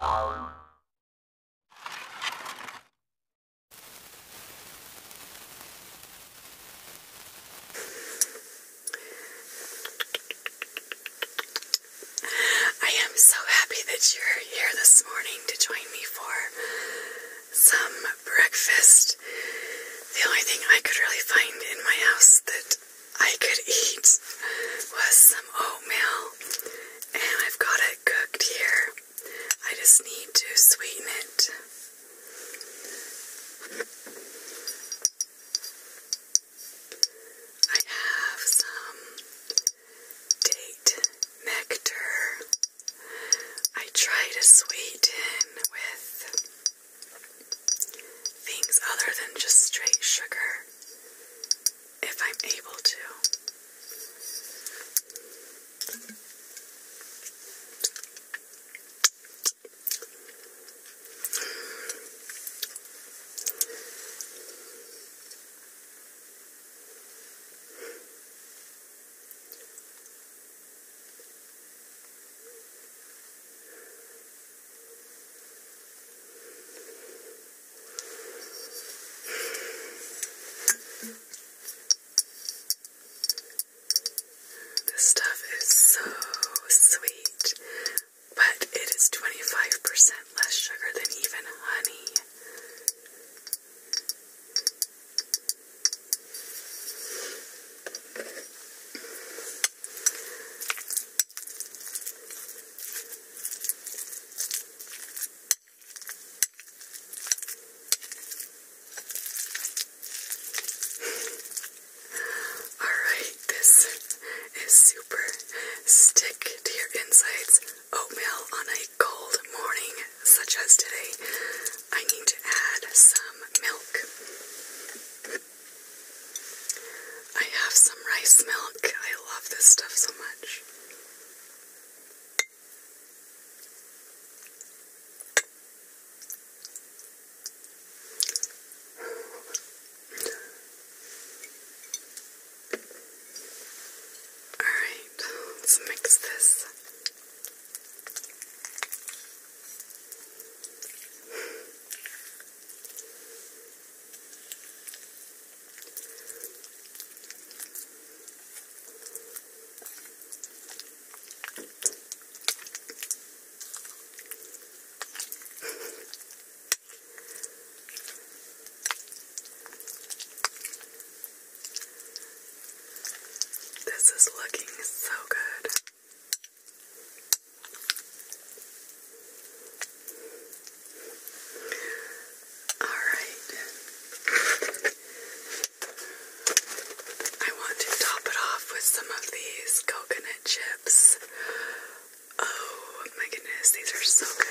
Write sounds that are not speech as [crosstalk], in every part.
I am so happy that you're here this morning to join me for some breakfast. The only thing I could really find in my house that I could eat was some oatmeal and I've got it cooked here. I just need to sweeten it. I have some date nectar. I try to sweeten with things other than just straight sugar if I'm able to. This stuff is so sweet, but it is 25% less sugar than even honey. Alright, this is super. Stick to your insides. Oatmeal on a cold morning, such as today. I need to add some milk. I have some rice milk. I love this stuff so much. All right, let's mix this. This is looking so good. All right. I want to top it off with some of these coconut chips. Oh my goodness, these are so good.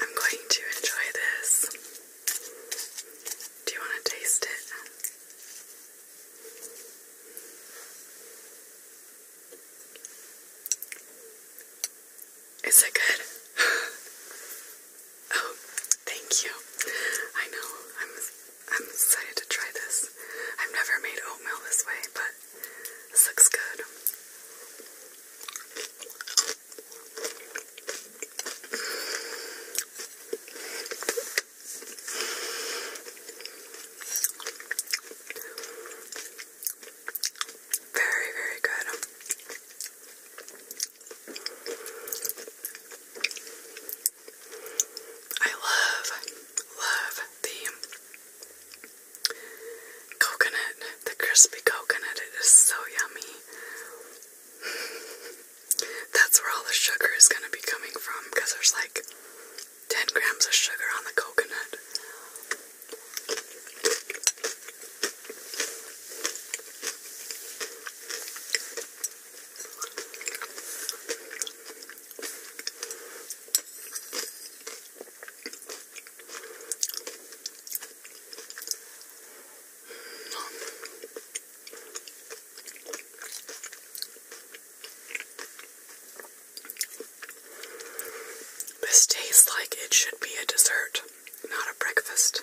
I'm going to enjoy this. Do you want to taste it? Is it good? [laughs] oh, thank you. I know. I'm I'm excited to try this. I've never made oatmeal this way, but this looks good. Very, very good. I love, love the coconut, the crispy coconut. It is so yummy. [laughs] That's where all the sugar is going to be coming from because there's like 10 grams of sugar on the coconut. This tastes like it should be a dessert, not a breakfast.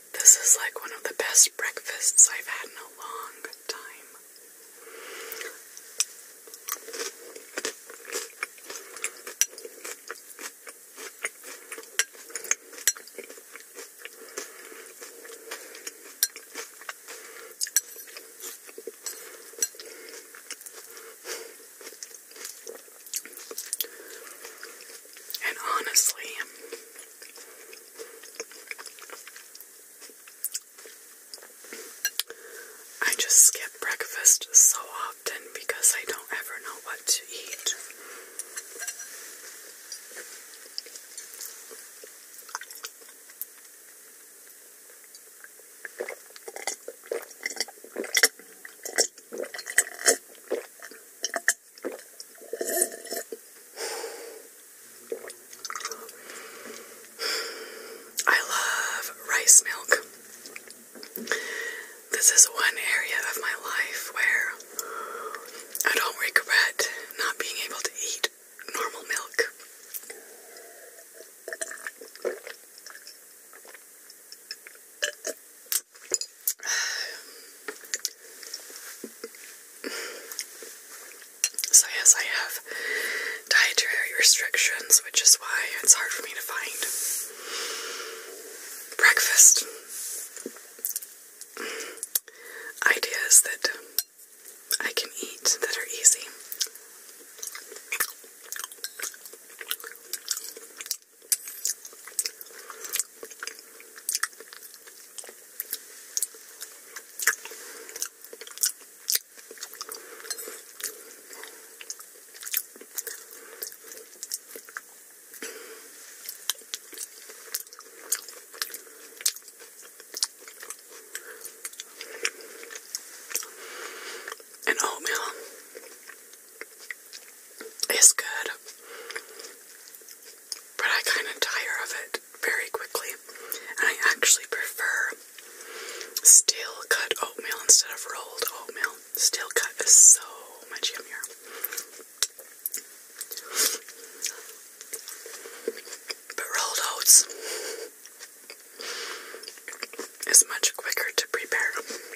This is like one of the best breakfasts I've had in a long time. And honestly, I just skip breakfast so often because I don't ever know what to eat. I love rice milk. This is one area of my life where I don't regret not being able to eat normal milk. So, yes, I have dietary restrictions, which is why it's hard for me to find breakfast ideas that I can eat that are easy. And oatmeal oh, it's good, but I kind of tire of it very quickly. And I actually prefer steel cut oatmeal instead of rolled oatmeal. Steel cut is so much yummier. But rolled oats is much quicker to prepare.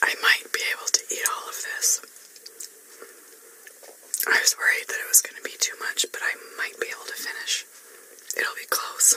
I might be able to eat all of this. I was worried that it was going to be too much, but I might be able to finish. It'll be close.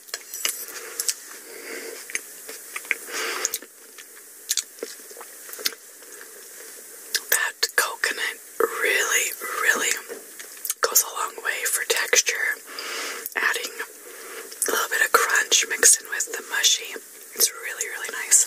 That coconut really, really goes a long way for texture. Adding a little bit of crunch mixed in with the mushy. It's really, really nice.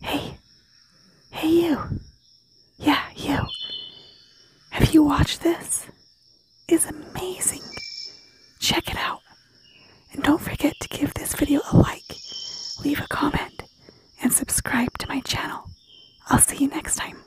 Hey. Hey, you. Yeah, you. Have you watched this? It's amazing. Check it out. And don't forget to give this video a like, leave a comment, and subscribe to my channel. I'll see you next time.